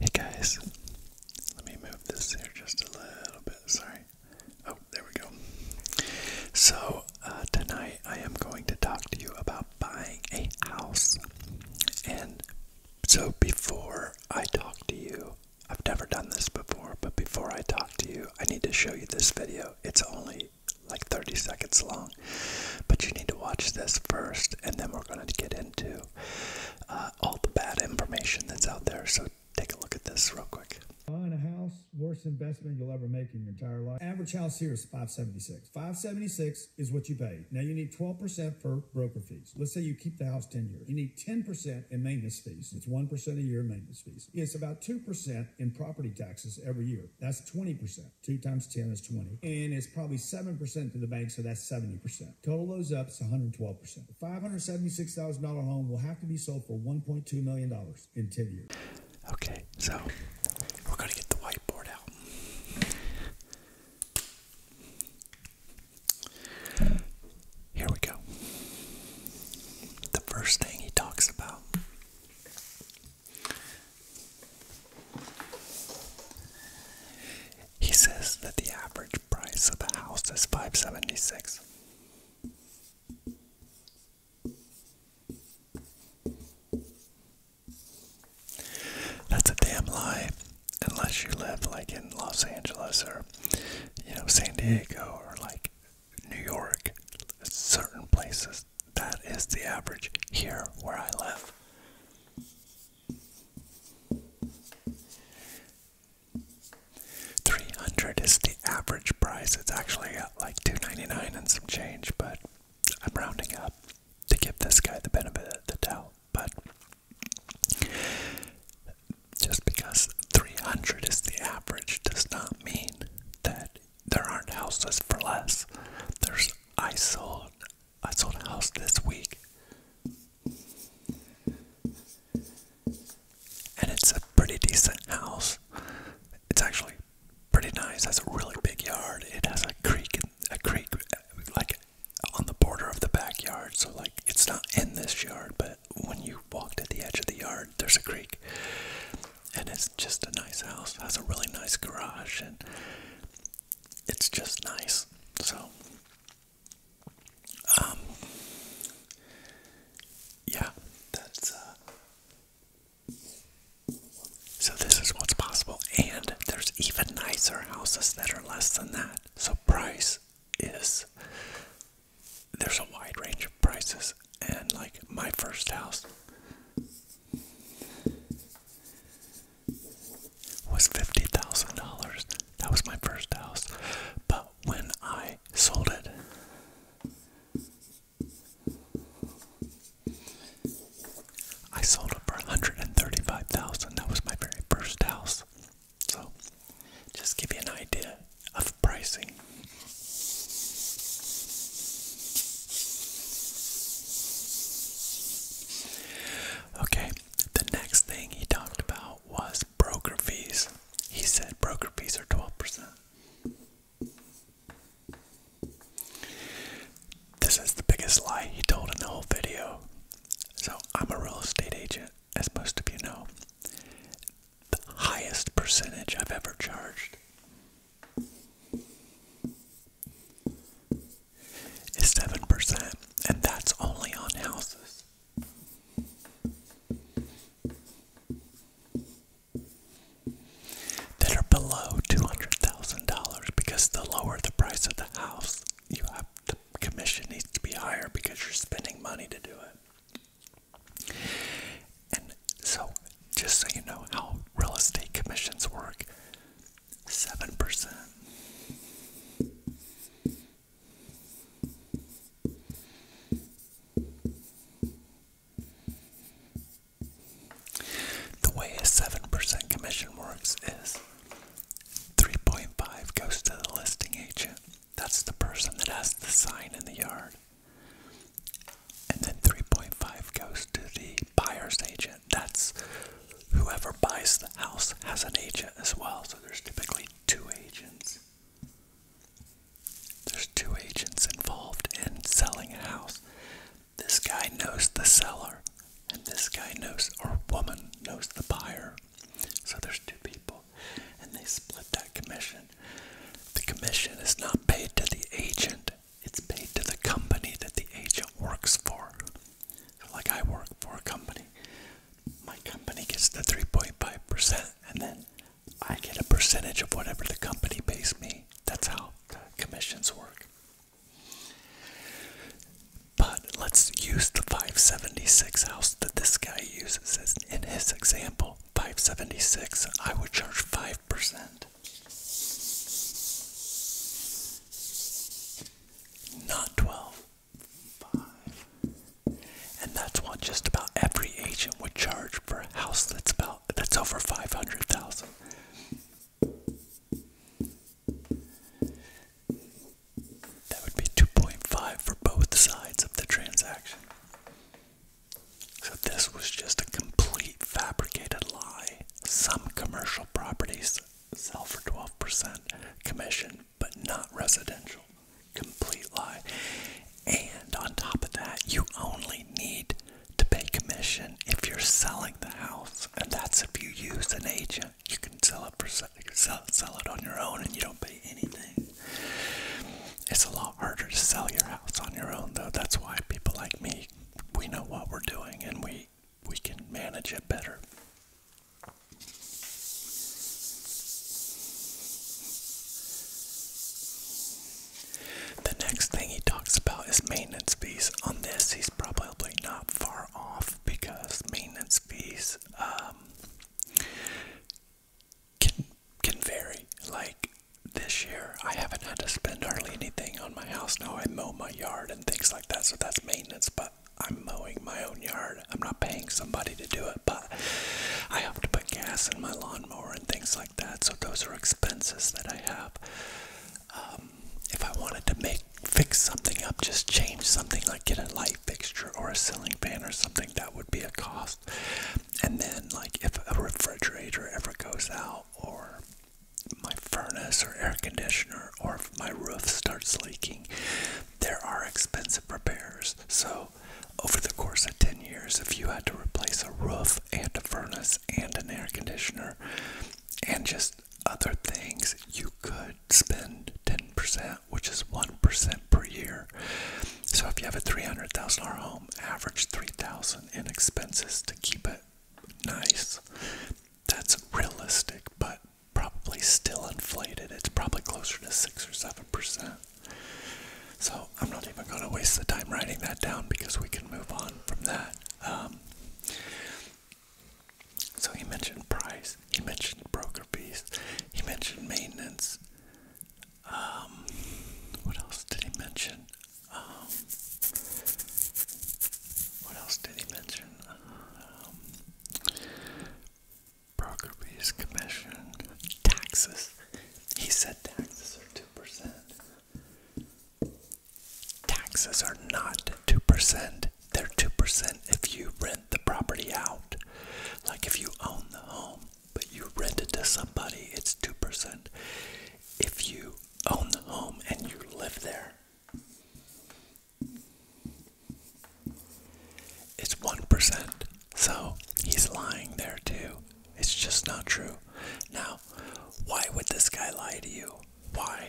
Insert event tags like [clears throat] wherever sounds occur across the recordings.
Hey guys, let me move this here just a little bit. Sorry. Oh, there we go. So, uh, tonight I am going to talk to you about buying a house. And so, before I talk to you, I've never done this before, but before I talk to you, I need to show you this video. It's only like 30 seconds long. But you need to watch this first, and then we're going to get into uh, all the bad information that's out there. So take a look at this real quick. Buying a house, worst investment you'll ever make in your entire life. Average house here is 576. 576 is what you pay. Now you need 12% for broker fees. Let's say you keep the house 10 years. You need 10% in maintenance fees. It's 1% a year maintenance fees. It's about 2% in property taxes every year. That's 20%. Two times 10 is 20. And it's probably 7% to the bank, so that's 70%. Total those up, it's 112%. The $576,000 home will have to be sold for $1.2 million in 10 years. Okay, so we're going to get the whiteboard out. Here we go. The first thing he talks about he says that the average price of a house is 576. That's a damn lie unless you live like in Los Angeles or you know San Diego or like New York, certain places. That is the average here where I live. Three hundred is the average price. It's actually like two ninety nine and some change, but I'm rounding up to give this guy the benefit of the doubt. But just because three hundred is the average does not mean that there aren't houses for less. There's I sold I sold a house this week. And it's a pretty decent house. It's actually pretty nice. It has a really big yard. It has a creek a creek like on the border of the backyard. So like it's not in this yard, but when you walk to the edge of the yard, there's a creek and it's just a nice house. has a really nice garage, and it's just nice. So, um, yeah, that's uh, so this is what's possible, and there's even nicer houses that are less than that. So, price is there's a wide range of prices, and like my first house was $50,000. That was my first house. But when I sold it, I sold it for $135,000. That was my very first house. So, just give you an idea of pricing. Okay, the next thing he talked about was broker fees. He said broker fees are 12%. This is the biggest lie he told in the whole video. So, I'm a real estate agent, as most of you know. The highest percentage I've ever charged is 7%, and that's only on houses. That are below $200,000 because the lower the price of the house, you have the commission needs to be higher because you're spending money to do it. And so, just so you know how real estate commissions work 7%. The way a 7% commission works is 3.5 goes to the listing agent. That's the person that has the sign in the yard. And then 3.5 goes to the buyer's agent. That's whoever buys the house has an agent as well. So there's typically two agents. There's two agents involved in selling a house. This guy knows the seller, and this guy knows, or woman knows the buyer. So there's two people, and they split that commission the commission is not paid to the agent, it's paid to the company that the agent works for. like I work for a company, my company gets the 3.5%, and then I get a percentage of whatever the company pays me. That's how commissions work. But let's use the 576 house that this guy uses in his example. 576, I would charge 5%. Not 12. And that's what just about every agent would charge for a house that's about that's over 500,000. That would be 2.5 for both sides of the transaction. So this was just a complete fabricated lie. Some commercial properties sell for 12% commission, but not residential. Complete lie. And on top of that, you only need to pay commission if you're selling the house, and that's if you use an agent. You can sell it for sell, sell it on your own, and you don't pay anything. It's a lot harder to sell your house on your own, though. That's why people like me, we know what we're doing and we we can manage it better. The next thing he talks about is maintenance fees. On this, he's probably not far off because maintenance fees um, can can vary. Like this year, I haven't had to spend hardly anything on my house. Now I mow my yard and things like that, so that's maintenance. But I'm mowing my own yard. I'm not paying somebody to do it, but I have to put gas in my lawnmower and things like that. So those are expenses that I have. Um, if I wanted to make fix something up, just change something like get a light fixture or a ceiling fan or something, that would be a cost. And then, like, if a refrigerator ever goes out, or my furnace or air conditioner, or if my roof starts leaking, there are expensive repairs. So, over the course of 10 years, if you had to replace a roof and a furnace and an air conditioner and just other things, you could spend 10%, which is 1% per year. So if you have a $300,000 home, average 3000 on in expenses to keep it nice. That's realistic, but probably still inflated. It's probably closer to 6 or 7%. So I'm not even going to waste the time writing that down because we can move on from that. Um, so he mentioned price, he mentioned broker fees, he mentioned maintenance, what else did he mention? what else did he mention? Um, Brokerby's um, commission, taxes. He said taxes are 2%. Taxes are not 2%. They're 2% if you rent the property out. Like if you own the home, but you rent it to somebody, it's 2%. If you own the home and you live there, it's 1%. So he's lying there too. It's just not true. Now, why would this guy lie to you? Why?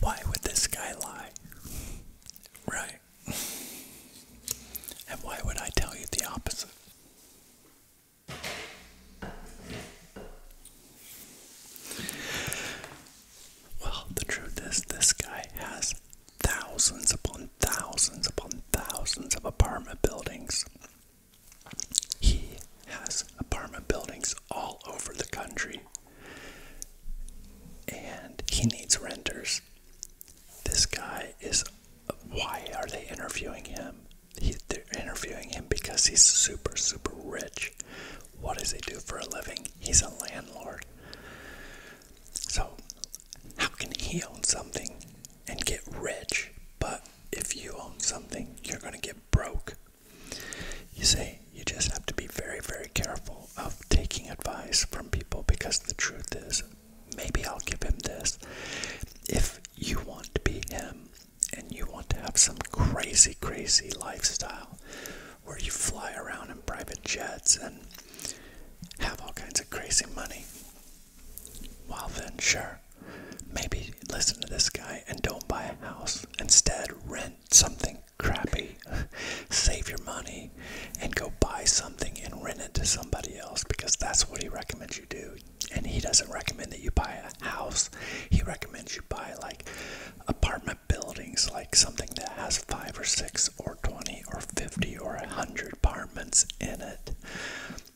Why would this guy lie? Right. And why would I tell you the opposite? Well, the truth is, this guy has thousands upon thousands upon thousands of apartment buildings. He has apartment buildings all over the country and he needs renters. This guy is. Why are they interviewing him? they're interviewing him because he's super, super rich. What does he do for a living? He's a landlord. So, how can he own something and get rich? But if you own something, you're going to get broke. You see, you just have to be very, very careful of taking advice from people because the truth is, maybe I'll give him this. If you want to be him and you want to have some crazy, crazy lifestyle where you fly around in private jets and have all kinds of crazy money, well, then, sure. Maybe listen to this guy and don't buy a house. Instead, rent something crappy. [laughs] Save your money and go buy something and rent it to somebody else because that's what he recommends you do. And he doesn't recommend that you buy a house. He recommends you buy like apartment buildings, like something that has five or six or 20 or 50 or 100 apartments in it.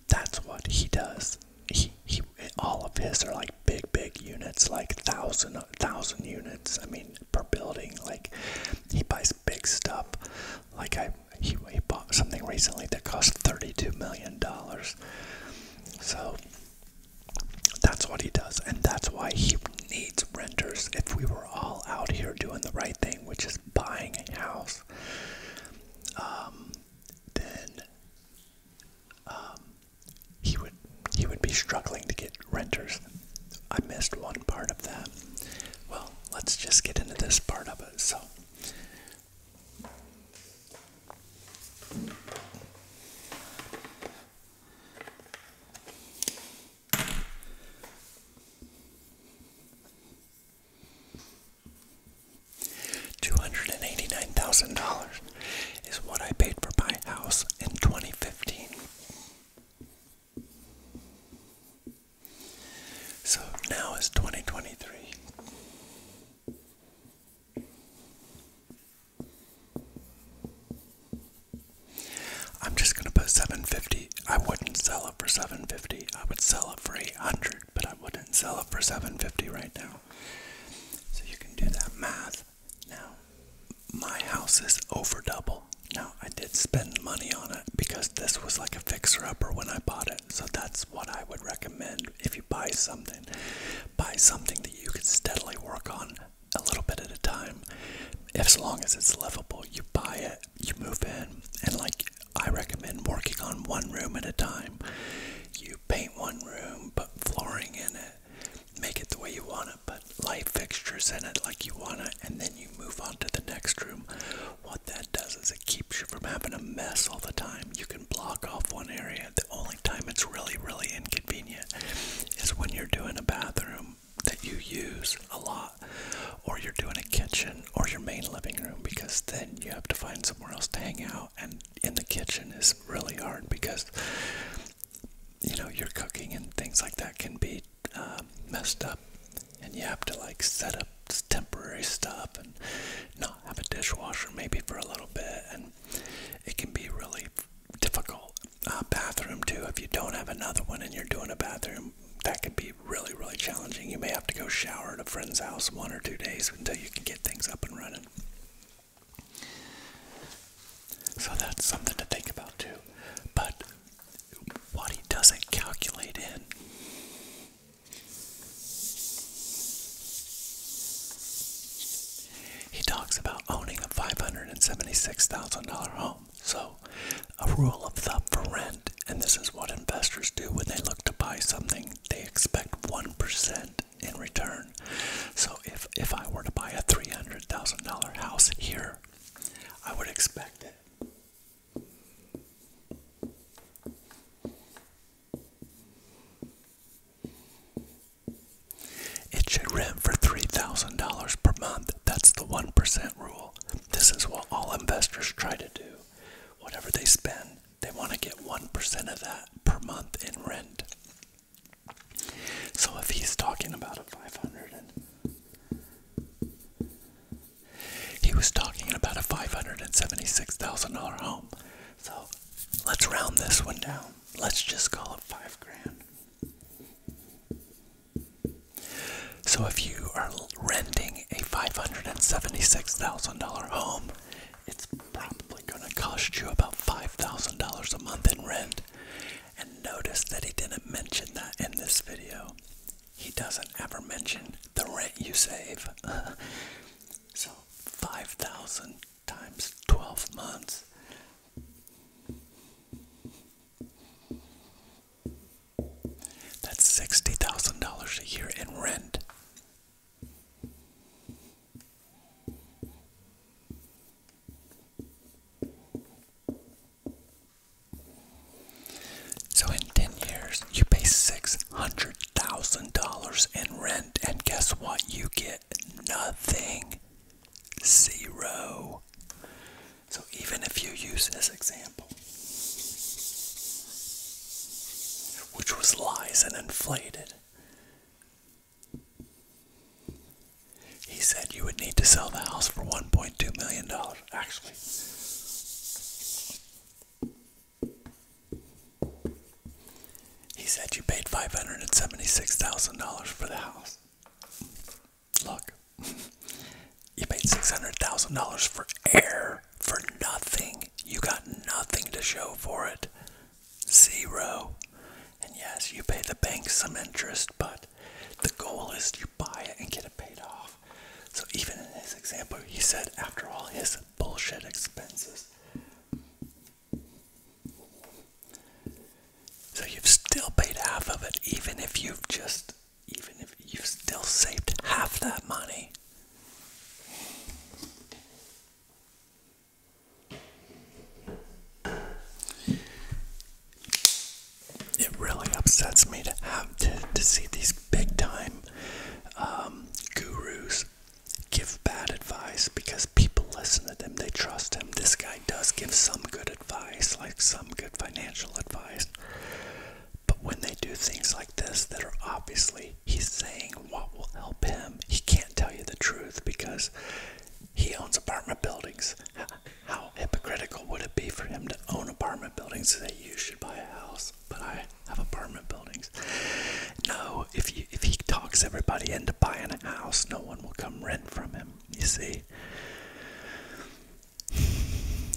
That's what he does. He, he all of his are like big, big units, like thousand, thousand units. I mean, per building. Like he buys big stuff. Like I, he, bought something recently that cost thirty-two million dollars. So that's what he does, and that's why he needs renters. If we were all out here doing the right thing, which is buying a house, um, then um, he would he would be struggling to get renters. I missed one part of that. Well, let's just get into this part of it. So Two hundred and eighty nine thousand dollars is what I paid for my house in 2015. So now is 2023. I'm just going to put 750. I wouldn't sell it for 750. I would sell it for 800, but I wouldn't sell it for 750 right now. So you can do that math. Now, my house is over double. Now, I did spend money on it because this was like a fixer upper when I bought it. So, that's what I would recommend if you buy something. Buy something that you can steadily work on a little bit at a time. As long as it's livable, you buy it, you move in, and like I recommend working on one room at a time. You paint one room, put flooring in it make it the way you want it, but light fixtures in it like you want it, and then you move on to the next room. What that does is it keeps you from having a mess all the time. You can block off one area. The only time it's really, really inconvenient is when you're doing a bathroom that you use a lot, or you're doing a kitchen or your main living room, because then you have to find somewhere else to hang out. And in the kitchen is really hard because you know your cooking and things like that can be um, messed up and you have to like set up temporary stuff and not have a dishwasher maybe for a little bit and it can be really difficult uh, bathroom too if you don't have another one and you're doing a bathroom that can be really really challenging you may have to go shower at a friend's house one or two days until you can get things up and running so that's something to think about too. But what he doesn't calculate in he talks about owning a $576,000 home. So, a rule of thumb for rent, and this is what investors do when they look to buy something, they expect 1% in return. So if, if I were to buy a $300,000 house here, I would expect it. It should rent for $3,000 per month. That's the 1% rule. This is what all investors try to do. Whatever they spend, they want to get 1% of that per month in rent. So if he's talking about a 500 he was talking about a $576,000 home. So let's round this one down. Let's just call it 5 grand. So if you are renting a $576,000 home, it's probably going to cost you about $5,000 a month in rent. And notice that he didn't mention that in this video. He doesn't ever mention the rent you save. [laughs] so 5,000 times 12 months. That's $60,000 a year in rent. So in 10 years, you pay $600,000 in rent, and guess what? You get nothing. Zero. So even if you use this example, which was lies and inflated, he said you would need to sell the house for $1.2 million, actually. He said you paid $576,000 for the house. Look, you paid $600,000 for air, for nothing. You got nothing to show for it zero. And yes, you pay the bank some interest, but the goal is you buy it and get it paid off. So even in this example, he said after all his bullshit expenses. So you've still paid half of it, even if you've just, even if you've still saved half that money. It really upsets me to have to, see these big time um, gurus give bad advice because people listen to them, they trust him. This guy does give some good advice, like some good financial advice. But when they do things like this that are obviously he's saying what will help him, he can't tell you the truth because he owns apartment buildings. How hypocritical would it be for him to own apartment buildings so that you should buy a house, but I have apartment buildings? No, if if he talks everybody into buying a house, no one will come rent from him. You see.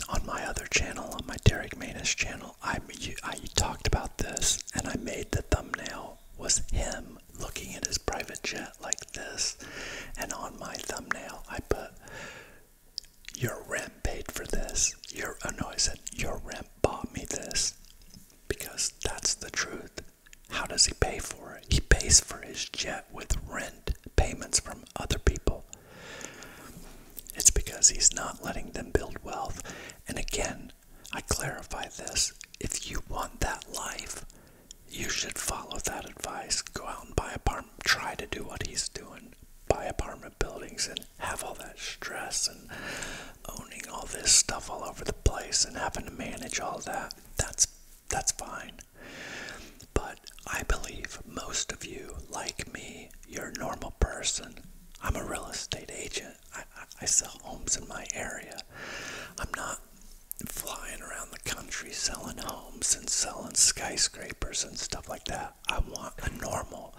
On my other channel, on my Derek Manus channel, I, I talked about this, and I made the thumbnail was him looking at his private jet like this, and on my thumbnail, I put, Your rent paid for this. Your, oh no, Your rent bought me this. Because that's the truth. How does he pay for it? He pays for his jet with rent payments from other people. It's because he's not letting them build wealth. And again, I clarify this. If you want that life, you should follow that advice. Go out and buy apartment. Try to do what he's doing. Buy apartment buildings and have all that stress and owning all this stuff all over the place and having to manage all that. That's that's fine. But I believe most of you, like me, you're a normal person. I'm a real estate agent. I, I sell homes in my area. I'm not flying around the country selling homes and selling skyscrapers and stuff like that. I want a normal,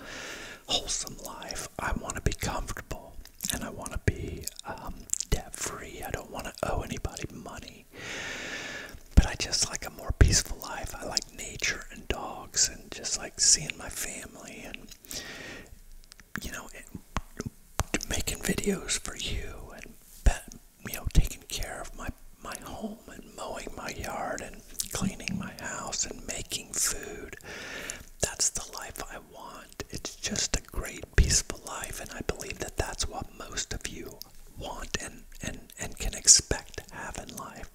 wholesome life. I want to be comfortable and I want to be um, debt free. I don't want to owe anybody money. But I just like a more peaceful life. I like nature and dogs and just like seeing my family and you know, making videos for you and pet, you know, taking care of my my home and mowing my yard and cleaning my house and making food. That's the life I want. It's just a great, peaceful life, and I believe that that's what most of you want and and and can expect to have in life.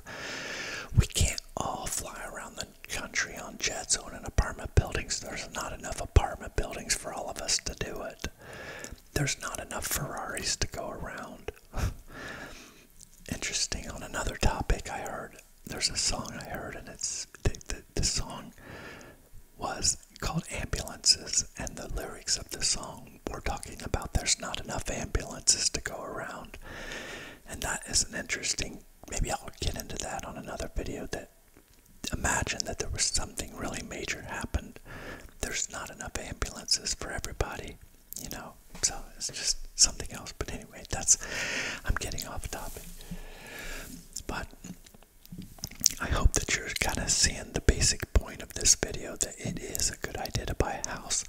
We can't all fly around the country on jets zone apartment buildings. There's not enough apartment buildings for all of us to do it. There's not enough Ferraris to go around. [laughs] Interesting. On another topic, I heard there's a song I heard, and it's the, the song was called Ambulances, and the lyrics of the song were talking about there's not enough ambulances to go around. And that is an interesting, maybe I'll get into that on another video that imagine that there was something really major happened. There's not enough ambulances for everybody, you know. So it's just something else. But anyway, that's I'm getting off topic. But I hope that you're kind of seeing the basic point of this video that it is a good idea to buy a house.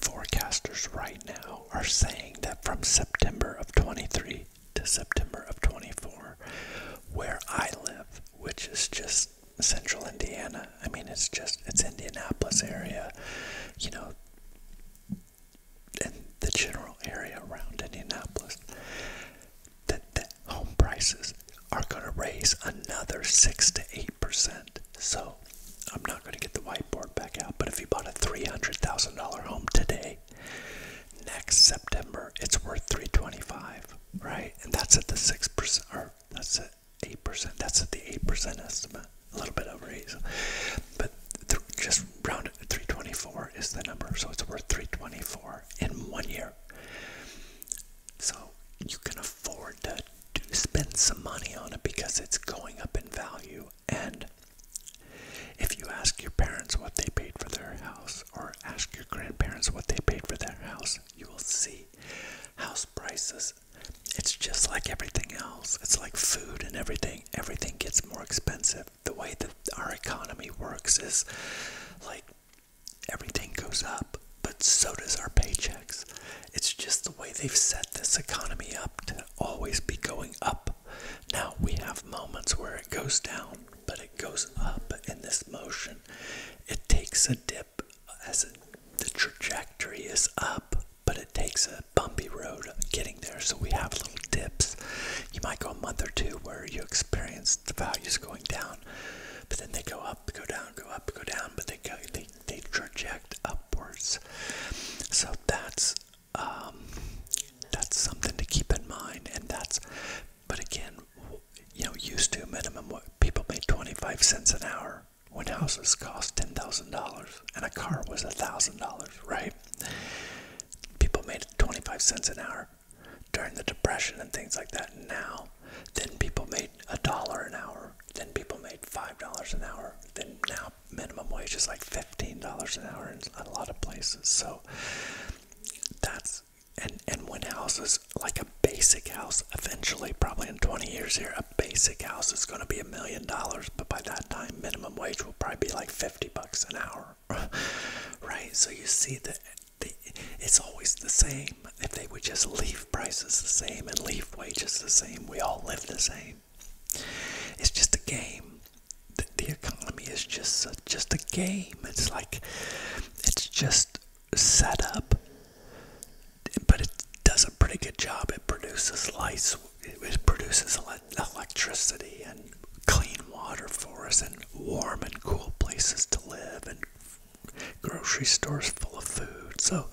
Forecasters right now are saying that from September of 23 to September of 24, where I live, which is just central Indiana. I mean, it's just, it's Indianapolis area, you know, and the general area around Indianapolis, that the home prices are going to raise another 6 to 8%. So, I'm not going to get the whiteboard back out, but if you bought a $300,000 home today, okay next september it's worth 325 right and that's at the 6% or that's at 8% that's at the 8% estimate a little bit over 8 so, but th just round it 324 is the number so it's worth 324 in one year so you can afford to do spend some money on it because it's going up in value and if you ask your parents what they paid for their house or ask your grandparents what they paid for their house, you will see house prices. It's just like everything else. It's like food and everything. Everything gets more expensive. The way that our economy works is like everything goes up, but so does our paychecks. It's just the way they've set this economy up to always be going up. Now we have moments where it goes down, but it goes up in this motion. It takes a dip as the trajectory is up, but it takes a bumpy road getting there, so we have little dips. You might go a month or two where you experience the values going down, but then they go up, go down, go up, go down, but they go they they traject upwards. So that's um, that's something to keep in mind, and that's but again, you know, used to minimum what people made 25 cents an hour when houses cost $10,000 and a car was $1,000, right? People made 25 cents an hour during the depression and things like that. Now, then people made a dollar an hour, then people made $5 an hour, then now minimum wage is like $15 an hour in a lot of places. So that's and and when houses like a basic house eventually probably in 20 years here a basic house is going to be a million dollars but by that time minimum wage will probably be like 50 bucks an hour [laughs] right so you see that the, it's always the same if they would just leave prices the same and leave wages the same we all live the same it's just a game the, the economy is just a, just a game. It's like it's just set up, but it does a pretty good job. It produces lights. It produces electricity and clean water for us, and warm and cool places to live, and grocery stores full of food. So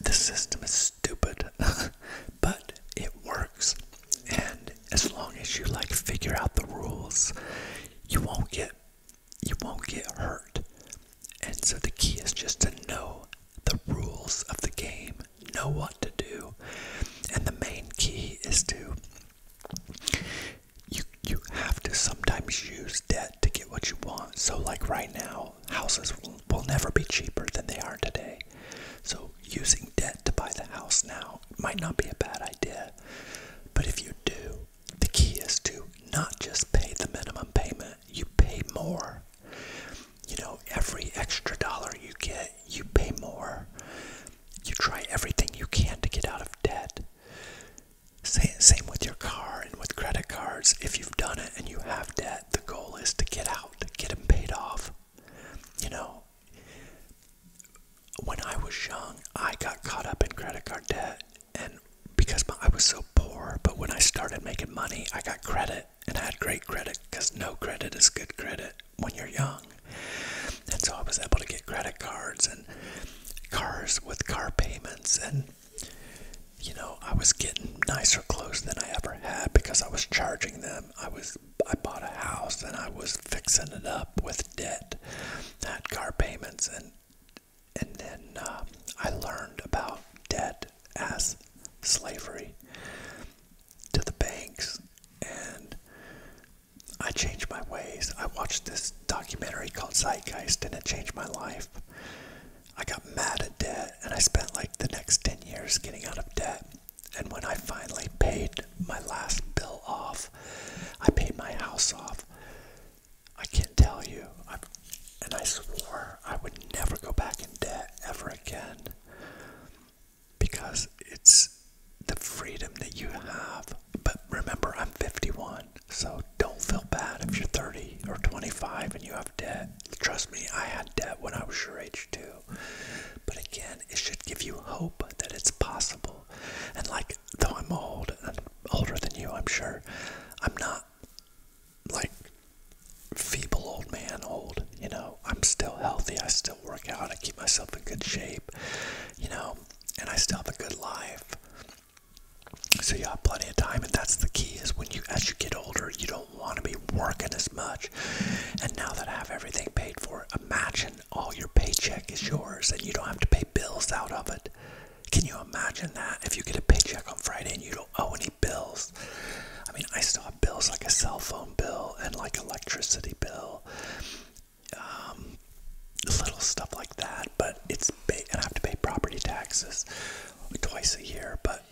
the system is stupid, [laughs] but it works, and as long as you like figure out the rules, you won't get you won't get hurt. And so the key is just to know the rules of the game, know what to do. And the main key is to you you have to sometimes use debt to get what you want. So like right now, houses will never be cheaper than they are today. So using debt to buy the house now might not be a bad idea. But if you do, the key is to not just pay the minimum payment, you pay more. You know, every extra dollar you get, you pay more. You try everything you can to get out of debt. same with your car and with credit cards. If you've done it and you have debt, the goal is to get out, get them paid off. You know, when I was young, I got caught up in credit card debt, and because my, I was so poor, but when I started making money, I got credit, and I had great credit because no credit is good credit when you're young. And so I was able to get credit cards and cars with car payments, and you know, I was getting nicer clothes than I ever had because I was charging them. I was I bought a house and I was fixing it up with debt, had car payments, and and then uh, I learned about debt as slavery to the banks, and I changed my ways. I watched this documentary called Zeitgeist, and it changed my life. I got mad at debt, and I spent like the next ten years getting out of debt. And when I finally paid my last bill off, I paid my house off. I can't tell you. I, and I swore I would never go back in debt ever again because it's the freedom that you have. But remember, I'm 51, so don't feel bad if you're 30 or 25 and you have debt. Trust me, I had debt when I was your age too video. But again, it should give you hope that it's possible. And like, though I'm old, I'm older than you, I'm sure, I'm not like feeble old man old, you know. I'm still healthy, I still work out, I keep myself in good shape, you know, and I still have a good life. So you have plenty of time, and that's the key. Is when you, as you get older, you don't want to be working as much. And now that I have everything paid for, imagine when all your paycheck is yours and you don't have to pay bills out of it. Can you imagine that? If you get a paycheck on Friday and you don't owe any bills. I mean, I still have bills like a cell phone bill and like electricity bill, um, little stuff like that. But it's, and I have to pay property taxes twice a year, but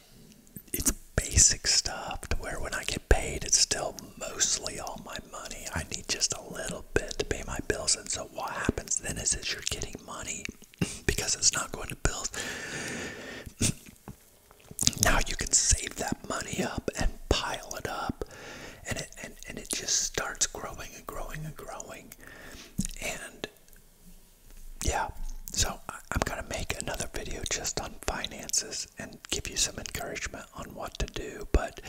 it's basic stuff to where when I get paid, it's still mostly all my money. I need just a little bit to pay my bills. And so what happens then is that you're getting money [clears throat] because it's not going to bills. [clears throat] now you can save that money up and pile it up and it and, and it just starts growing and growing and growing. And yeah, so I'm gonna make another video just on finances and give you some encouragement on what to do, but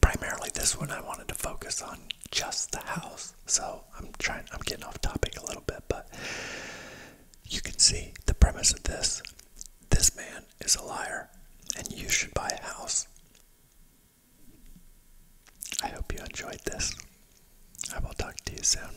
primarily this one I wanted to focus on just the house. So I'm trying I'm getting off topic a little bit, but you can see the premise of this. This man is a liar and you should buy a house. I hope you enjoyed this. I will talk to you soon.